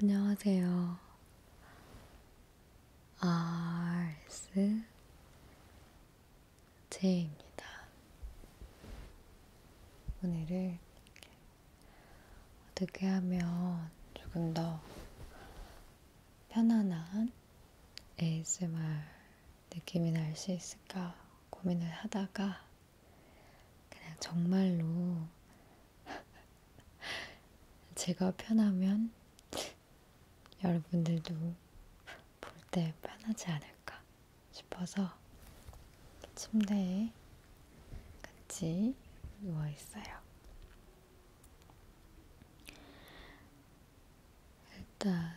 안녕하세요. RS 제입니다. 오늘은 어떻게 하면 조금 더 편안한 ASMR 느낌이 날 수 있을까 고민을 하다가 그냥 정말로 제가 편하면 여러분들도 볼 때 편하지 않을까 싶어서 침대에 같이 누워 있어요. 일단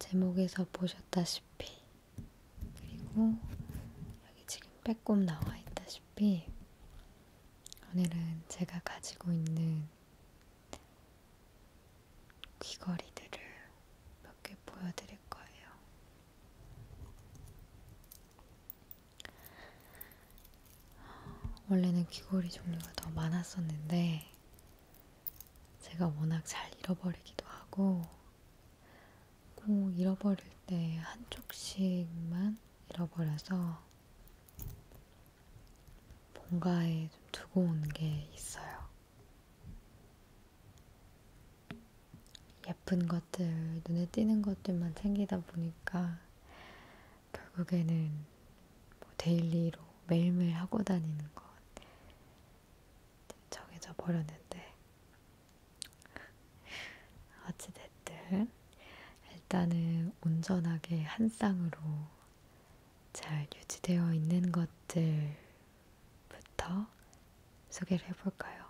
제목에서 보셨다시피 그리고 여기 지금 빼꼼 나와 있다시피 오늘은 제가 가지고 있는 귀걸이들을 몇 개 보여드릴 거예요. 원래는 귀걸이 종류가 더 많았었는데 제가 워낙 잘 잃어버리기도 하고 꼭 잃어버릴 때 한쪽씩만 잃어버려서 뭔가에 좀 두고 온 게 있어요. 예쁜 것들, 눈에 띄는 것들만 챙기다 보니까 결국에는 뭐 데일리로 매일매일 하고 다니는 것 정해져 버렸는데 어찌됐든 일단은 온전하게 한 쌍으로 잘 유지되어 있는 것들부터 소개를 해볼까요?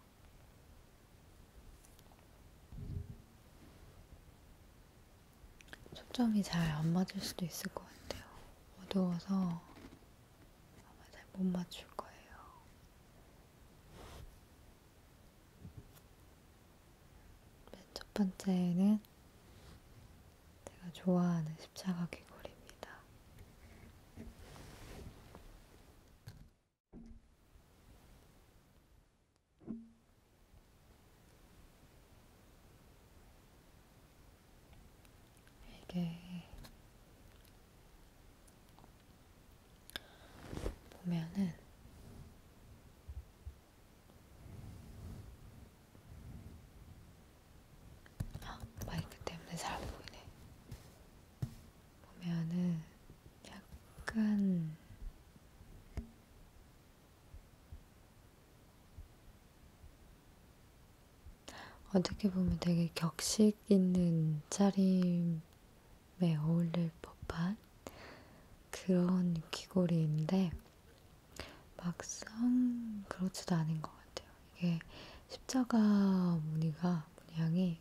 초점이 잘 안 맞을 수도 있을 것 같아요. 어두워서 아마 잘 못 맞출 거예요. 맨 첫 번째는 제가 좋아하는 십자가 귀걸이입니다. 이게 보면은 아, 마이크 때문에 잘 보이네. 보면은 약간 어떻게 보면 되게 격식 있는 차림 몸에 어울릴 법한 그런 귀걸이인데 막상 그렇지도 않은 것 같아요. 이게 십자가 무늬가 문양이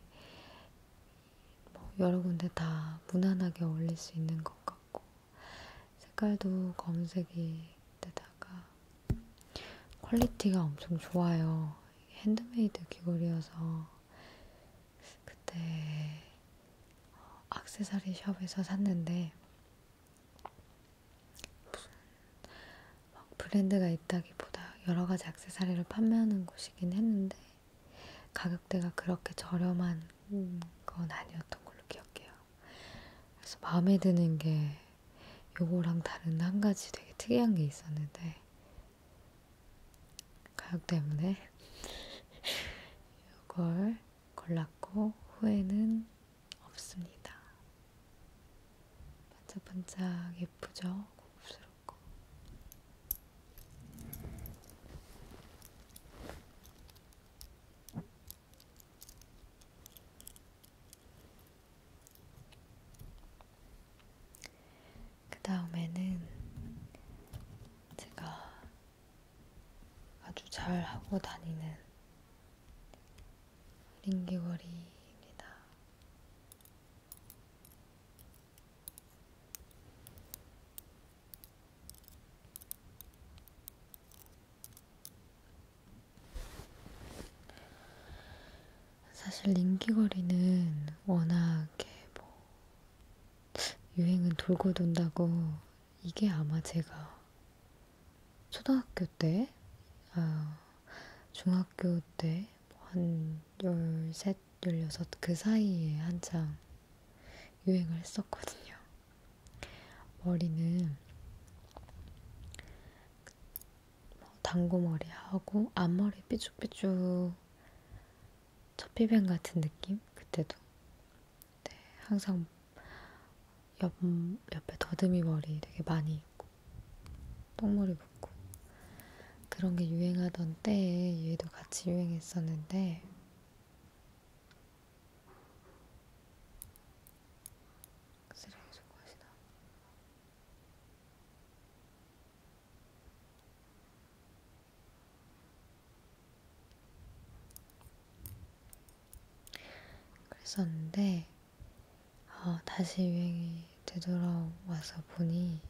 뭐 여러 군데 다 무난하게 어울릴 수 있는 것 같고 색깔도 검색이되다가 퀄리티가 엄청 좋아요. 핸드메이드 귀걸이여서 그때 어, 악세사리 숍에서 샀는데 무슨 막 브랜드가 있다기보다 여러 가지 악세사리를 판매하는 곳이긴 했는데 가격대가 그렇게 저렴한 건 아니었던 걸로 기억해요. 그래서 마음에 드는 게 요거랑 다른 한 가지 되게 특이한 게 있었는데 가격 때문에 이걸 골랐고 후회는 없습니다. 반짝반짝 예쁘죠? 고급스럽고 그 다음에는 제가 아주 잘 하고 다니는 링기거리입니다. 사실 인기거리는 워낙 뭐 유행은 돌고 돈다고 이게 아마 제가 초등학교 때, 아, 중학교 때, 한 13, 16 그 사이에 한창 유행을 했었거든요. 머리는 당고머리 뭐 하고 앞머리 삐죽삐죽 첫비변 같은 느낌? 그때도. 네, 항상 옆, 옆에 더듬이 머리 되게 많이 있고, 똥머리 묶고. 그런 게 유행하던 때에 얘도 같이 유행했었는데, 쓰레기 소고하시다. 그랬었는데 어, 다시 유행이 되돌아와서 보니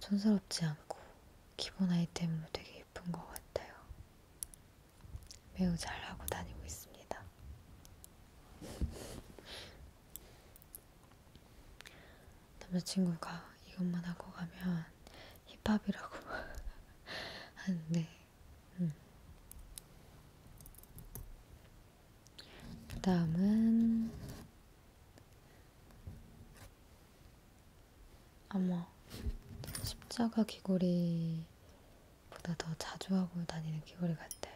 촌스럽지 않고 기본 아이템으로 되게 예쁜 것 같아요. 매우 잘하고 다니고 있습니다. 남자친구가 이것만 하고 가면 힙합이라고 하는데 아, 네. 음. 그 다음은 아마 십자가 귀걸이보다 더 자주 하고 다니는 귀걸이 같아요.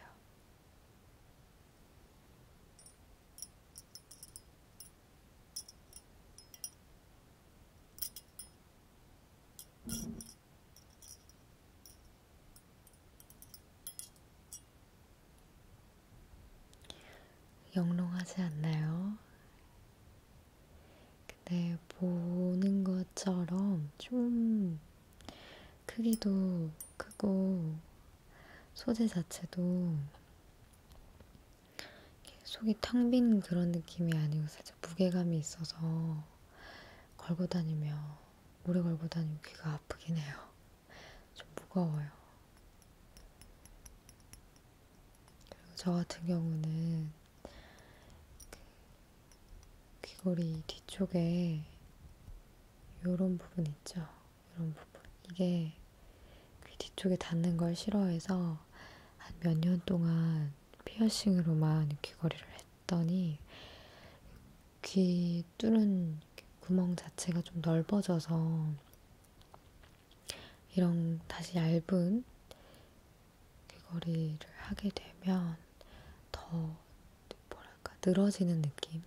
영롱하지 않나요? 근데 보는 것처럼 좀 크기도 크고 소재 자체도 속이 텅 빈 그런 느낌이 아니고 살짝 무게감이 있어서 걸고 다니며 오래 걸고 다니면 귀가 아프긴 해요. 좀 무거워요. 그리고 저 같은 경우는 그 귀걸이 뒤쪽에 요런 부분 있죠? 이런 부분. 이게 귀 뒤쪽에 닿는 걸 싫어해서 한 몇 년 동안 피어싱으로만 귀걸이를 했더니 귀 뚫은 구멍 자체가 좀 넓어져서 이런 다시 얇은 귀걸이를 하게 되면 더 뭐랄까 늘어지는 느낌?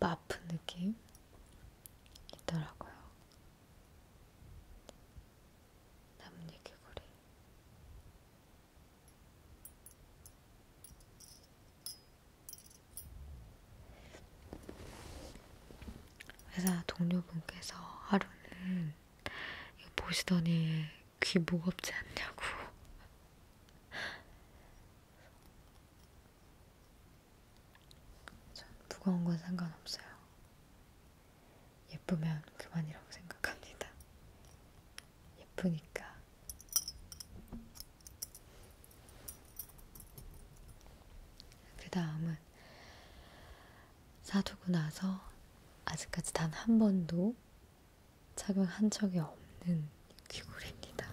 아, 아픈 느낌 있더라고요. 나뭇잎개구리 회사 동료분께서 하루는 이거 보시더니 귀 무겁지 않냐고 전 무거운 건 상관없어요. 예쁘면 그만이라고 생각합니다. 예쁘니까. 그 다음은 사두고 나서 아직까지 단 한 번도 착용한 적이 없는 귀걸이입니다.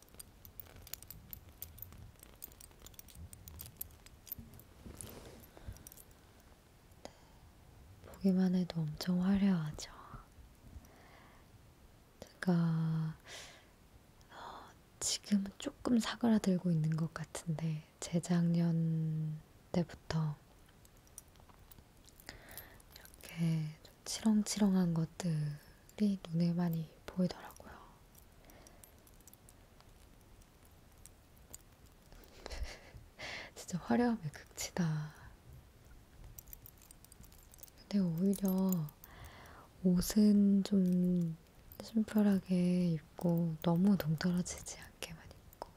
네. 보기만 해도 엄청 화려하죠. 제가 어, 지금은 조금 사그라들고 있는 것 같은데 재작년 때부터 이렇게 좀 치렁치렁한 것들 이 네, 눈에 많이 보이더라고요. 진짜 화려함의 극치다. 근데 오히려 옷은 좀 심플하게 입고 너무 동떨어지지 않게만 입고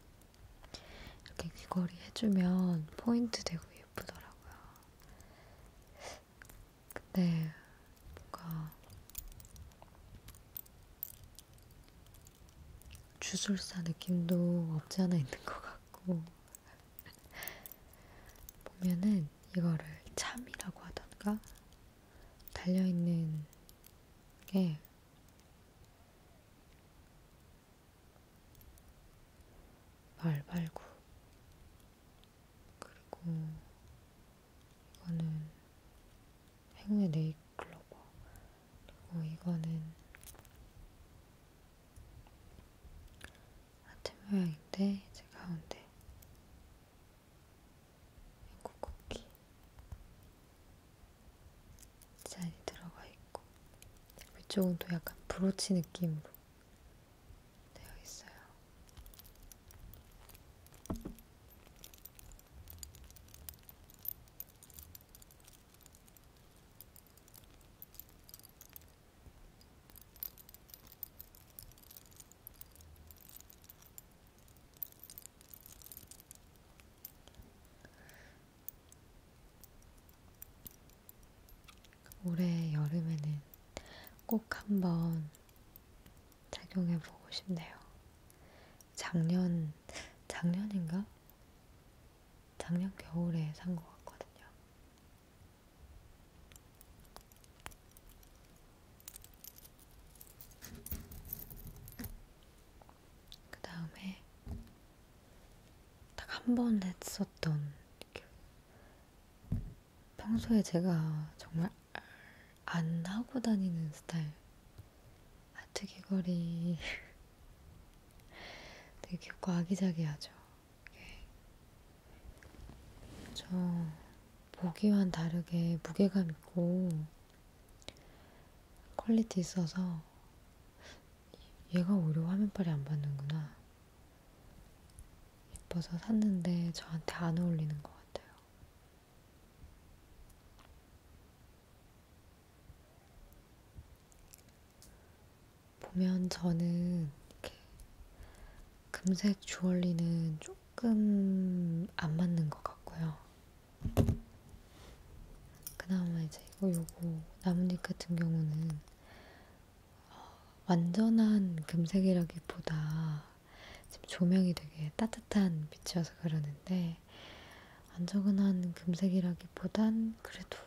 이렇게 귀걸이 해주면 포인트 되고 예쁘더라고요. 근데 네, 뭔가 주술사 느낌도 없지 않아 있는 것 같고 보면은 이거를 참이라고 하던가 달려있는 게 말발구 그리고 이거는 행운의 네잎클로버 그리고 이거는 하트 모양인데 이제 가운데 앵코쿠키 디자인이 들어가 있고 위쪽은 또 약간 브로치 느낌으로 되어 있어요. 올해 여름에는 꼭 한번 착용해 보고 싶네요. 작년 작년인가? 작년 겨울에 산 것 같거든요. 그 다음에 딱 한 번 했었던 그 평소에 제가 정말 안 하고 다니는 스타일. 하트 아, 귀걸이 되게 귀엽고 아기자기하죠. 이게. 저 보기와는 다르게 무게감 있고 퀄리티 있어서 얘가 오히려 화면빨이 안 받는구나. 예뻐서 샀는데 저한테 안 어울리는 것 같아요. 같아요. 보면 저는 이렇게 금색 주얼리는 조금 안 맞는 것 같고요. 그나마 이제 이거 요거 나뭇잎 같은 경우는 어, 완전한 금색이라기보다 지금 조명이 되게 따뜻한 빛이어서 그러는데 안저근한 금색이라기보단 그래도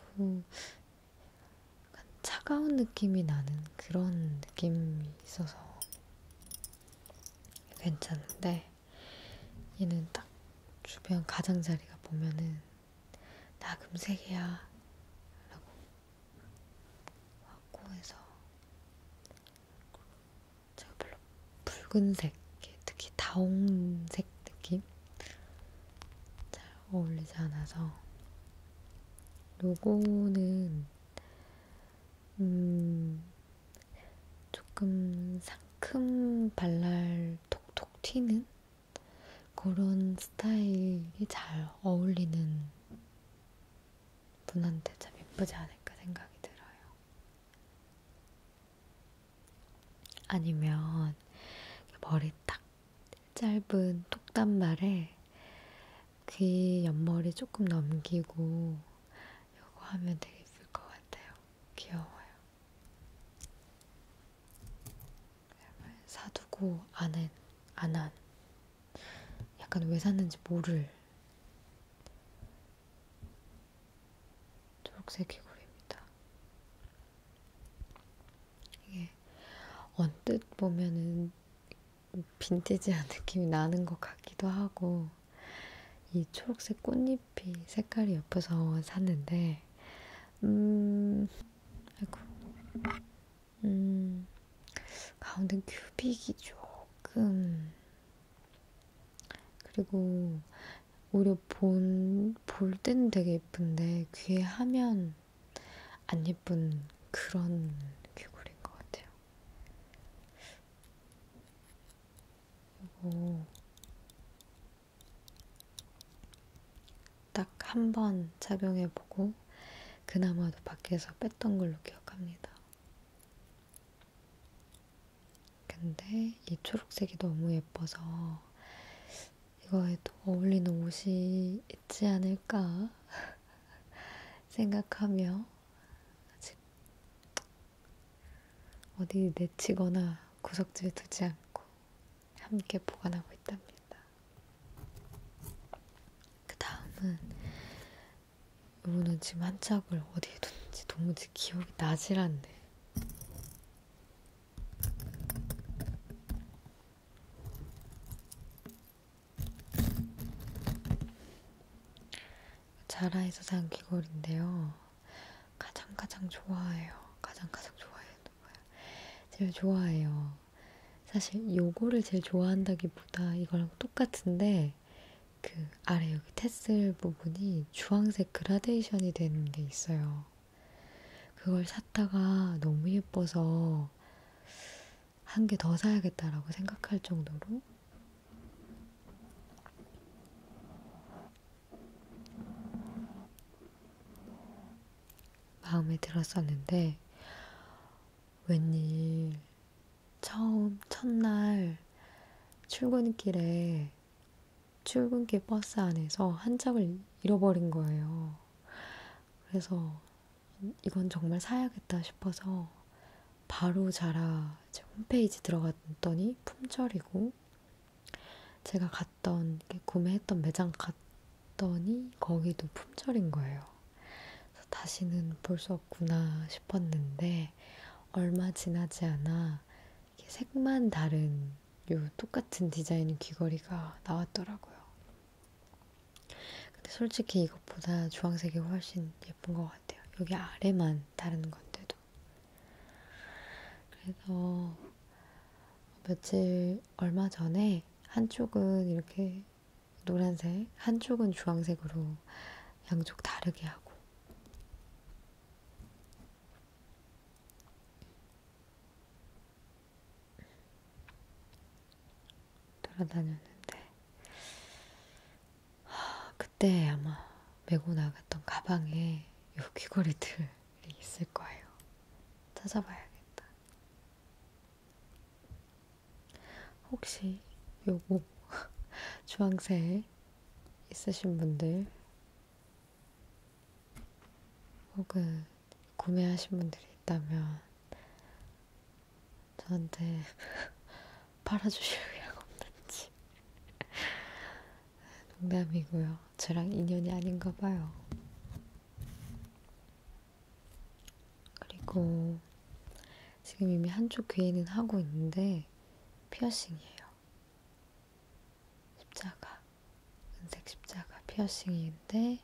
약간 차가운 느낌이 나는 그런 느낌이 있어서 괜찮은데 얘는 딱 주변 가장자리가 보면은 나 금색이야 라고 확고해서 제가 별로 붉은색, 특히 다홍색 느낌? 잘 어울리지 않아서 요거는 음, 조금 상큼 발랄 톡톡 튀는 그런 스타일이 잘 어울리는 분한테 참 예쁘지 않을까 생각이 들어요. 아니면 그 머리 딱 짧은 톡단발에 귀 옆머리 조금 넘기고 요거 하면 되게 예쁠 것 같아요. 귀여워요. 사두고 안은 안한 약간 왜 샀는지 모를 초록색 귀걸이입니다. 이게 언뜻 보면은 빈티지한 느낌이 나는 것 같기도 하고 이 초록색 꽃잎이 색깔이 예뻐서 샀는데 음... 아이고 음, 가운데 큐빅이 조금 그리고 오히려 본, 볼 때는 되게 예쁜데 귀에 하면 안 예쁜 그런 귀걸인 것 같아요. 이거 딱한 번 착용해보고 그나마도 밖에서 뺐던 걸로 기억합니다. 근데 이 초록색이 너무 예뻐서 이거에도 어울리는 옷이 있지 않을까 생각하며 아직 어디 내치거나 구석지에 두지 않고 함께 보관하고 있답니다. 그 다음은 이거는 지금 한 짝을 어디에 뒀는지 도무지 기억이 나질 않네. 자라에서 산 귀걸인데요. 가장 가장 좋아해요. 가장 가장 좋아해요. 누구야? 제일 좋아해요. 사실 요거를 제일 좋아한다기보다 이거랑 똑같은데 있는데 그 아래 여기 테슬 부분이 주황색 그라데이션이 되는 게 있어요. 그걸 샀다가 너무 예뻐서 한 개 더 사야겠다라고 생각할 정도로 마음에 들었었는데 웬일 처음 첫날 출근길에 출근길 버스 안에서 한장을 잃어버린 거예요. 그래서 이건 정말 사야겠다 싶어서 바로 자라 이제 홈페이지 들어갔더니 품절이고 제가 갔던 구매했던 매장 갔더니 거기도 품절인 거예요. 다시는 볼 수 없구나 싶었는데 얼마 지나지 않아 색만 다른 요 똑같은 디자인 귀걸이가 나왔더라고요. 근데 솔직히 이것보다 주황색이 훨씬 예쁜 것 같아요. 여기 아래만 다른 건데도. 그래서 며칠 얼마 전에 한쪽은 이렇게 노란색, 한쪽은 주황색으로 양쪽 다르게 하고 돌아다녔는데 그때 아마 메고 나갔던 가방에 요 귀걸이들이 있을 거예요. 찾아봐야겠다. 혹시 요거 주황색 있으신 분들 혹은 구매하신 분들이 있다면 저한테 팔아주실 의향 없는지 농담이고요. 저랑 인연이 아닌가 봐요. 그리고 지금 이미 한쪽 귀에는 하고 있는데 피어싱이에요. 십자가, 은색 십자가 피어싱인데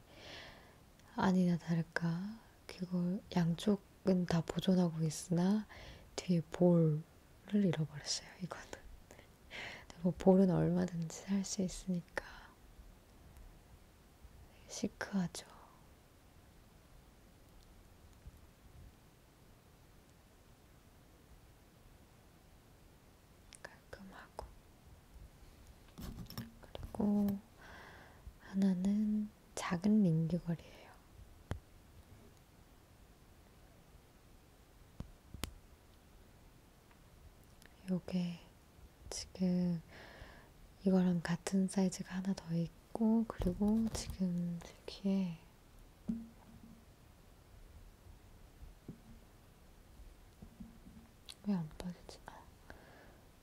아니나 다를까 그걸 양쪽은 다 보존하고 있으나 뒤에 볼을 잃어버렸어요. 이거는 뭐 볼은 얼마든지 살수 있으니까 시크하죠. 깔끔하고 그리고 하나는 작은 민규걸이에요. 요게 지금 이거랑 같은 사이즈가 하나 더 있고 그리고 지금 들키에 왜 안 빠지지? 아,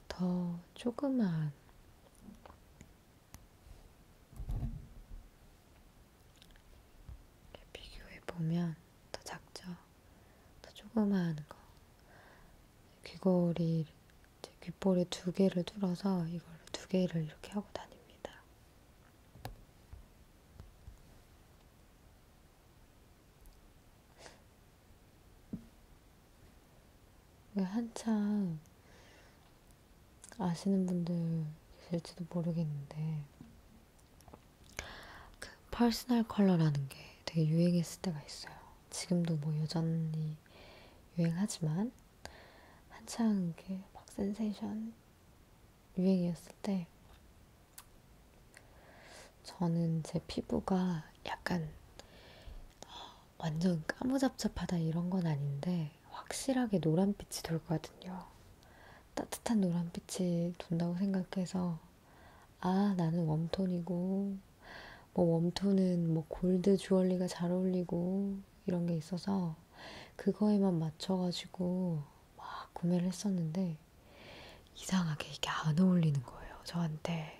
더 조그만 비교해 보면 더 작죠? 더 조그만 거 귀걸이 귓볼에 두 개를 뚫어서 이걸 두 개를 이렇게 하고 다닙니다. 한참 아시는 분들 계실지도 모르겠는데 그 퍼스널 컬러라는 게 되게 유행했을 때가 있어요. 지금도 뭐 여전히 유행하지만 한창 그막 센세이션 유행이었을 때 저는 제 피부가 약간 어, 완전 까무잡잡하다 이런 건 아닌데 확실하게 노란빛이 돌거든요. 따뜻한 노란빛이 돈다고 생각해서 아 나는 웜톤이고 뭐 웜톤은 뭐 골드 주얼리가 잘 어울리고 이런 게 있어서 그거에만 맞춰가지고 막 구매를 했었는데 이상하게 이게 안 어울리는 거예요, 저한테.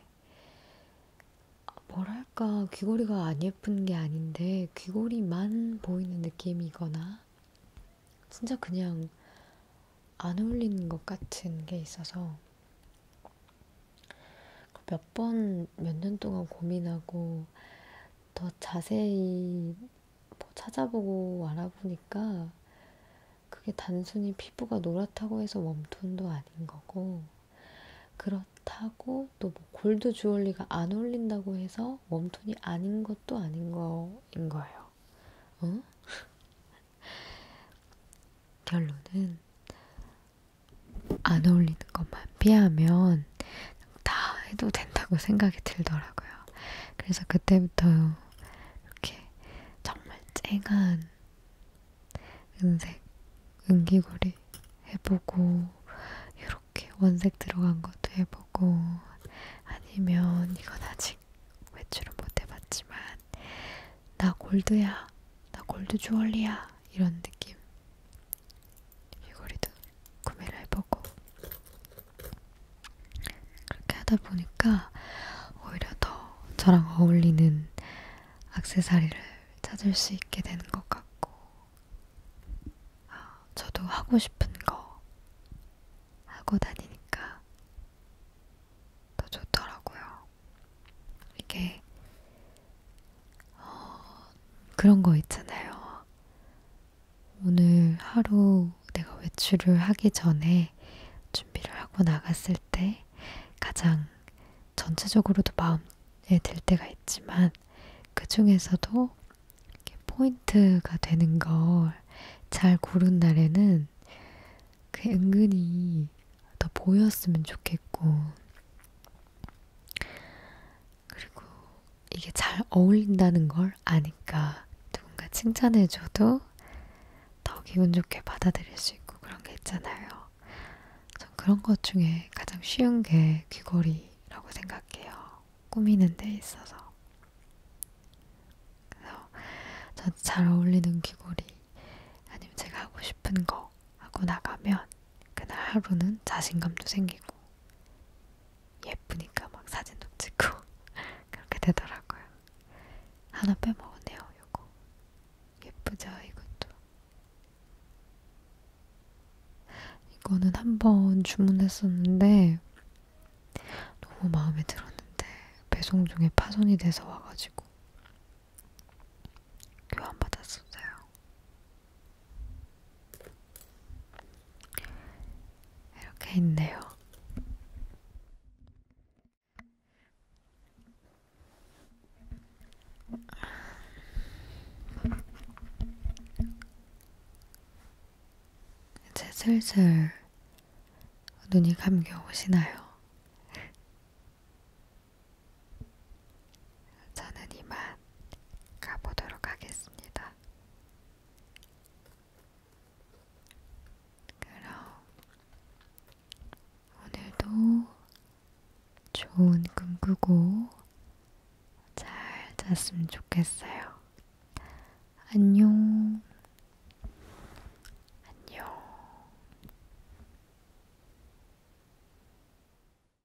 뭐랄까, 귀걸이가 안 예쁜 게 아닌데 귀걸이만 보이는 느낌이거나 진짜 그냥 안 어울리는 것 같은 게 있어서 몇 번, 몇 년 동안 고민하고 더 자세히 뭐 찾아보고 알아보니까 그게 단순히 피부가 노랗다고 해서 웜톤도 아닌 거고 그렇다고 또뭐 골드 주얼리가 안 어울린다고 해서 웜톤이 아닌 것도 아닌 거인 거예요. 어? 결론은 안 어울리는 것만 피하면 다 해도 된다고 생각이 들더라고요. 그래서 그때부터 이렇게 정말 쨍한 은색 은기고리 해보고 이렇게 원색 들어간 것도 해보고 아니면 이건 아직 외출은 못 해봤지만 나 골드야 나 골드 주얼리야 이런 느낌 귀걸이도 구매를 해보고 그렇게 하다 보니까 오히려 더 저랑 어울리는 악세사리를 찾을 수 있게 되는 것 같고 아, 저도 하고 싶은 거 하고 다니니까 더 좋더라고요. 이게 어, 그런 거 있잖아요. 오늘 하루 내가 외출을 하기 전에 준비를 하고 나갔을 때 가장 전체적으로도 마음에 들 때가 있지만 그 중에서도 포인트가 되는 걸 잘 고른 날에는 그 은근히 더 보였으면 좋겠고 그리고 이게 잘 어울린다는 걸 아니까 누군가 칭찬해줘도 더 기분 좋게 받아들일 수 있고 그런 게 있잖아요. 전 그런 것 중에 가장 쉬운 게 귀걸이라고 생각해요. 꾸미는 데 있어서. 그래서 전 잘 어울리는 귀걸이 아니면 제가 하고 싶은 거 하고 나가면 그날 하루는 자신감도 생기고 예쁘니까 막 사진도 찍고 그렇게 되더라고요. 하나 빼먹었네요, 요거. 예쁘죠, 이것도. 이거는 한 번 주문했었는데 너무 마음에 들었는데 배송 중에 파손이 돼서 와가지고 교환받았었어요. 이렇게 있네요. 이제 슬슬 눈이 감겨 오시나요? 저는 이만 가보도록 하겠습니다. 그럼 오늘도 좋은 꿈 꾸고 잘 잤으면 좋겠어요. 안녕. 안녕.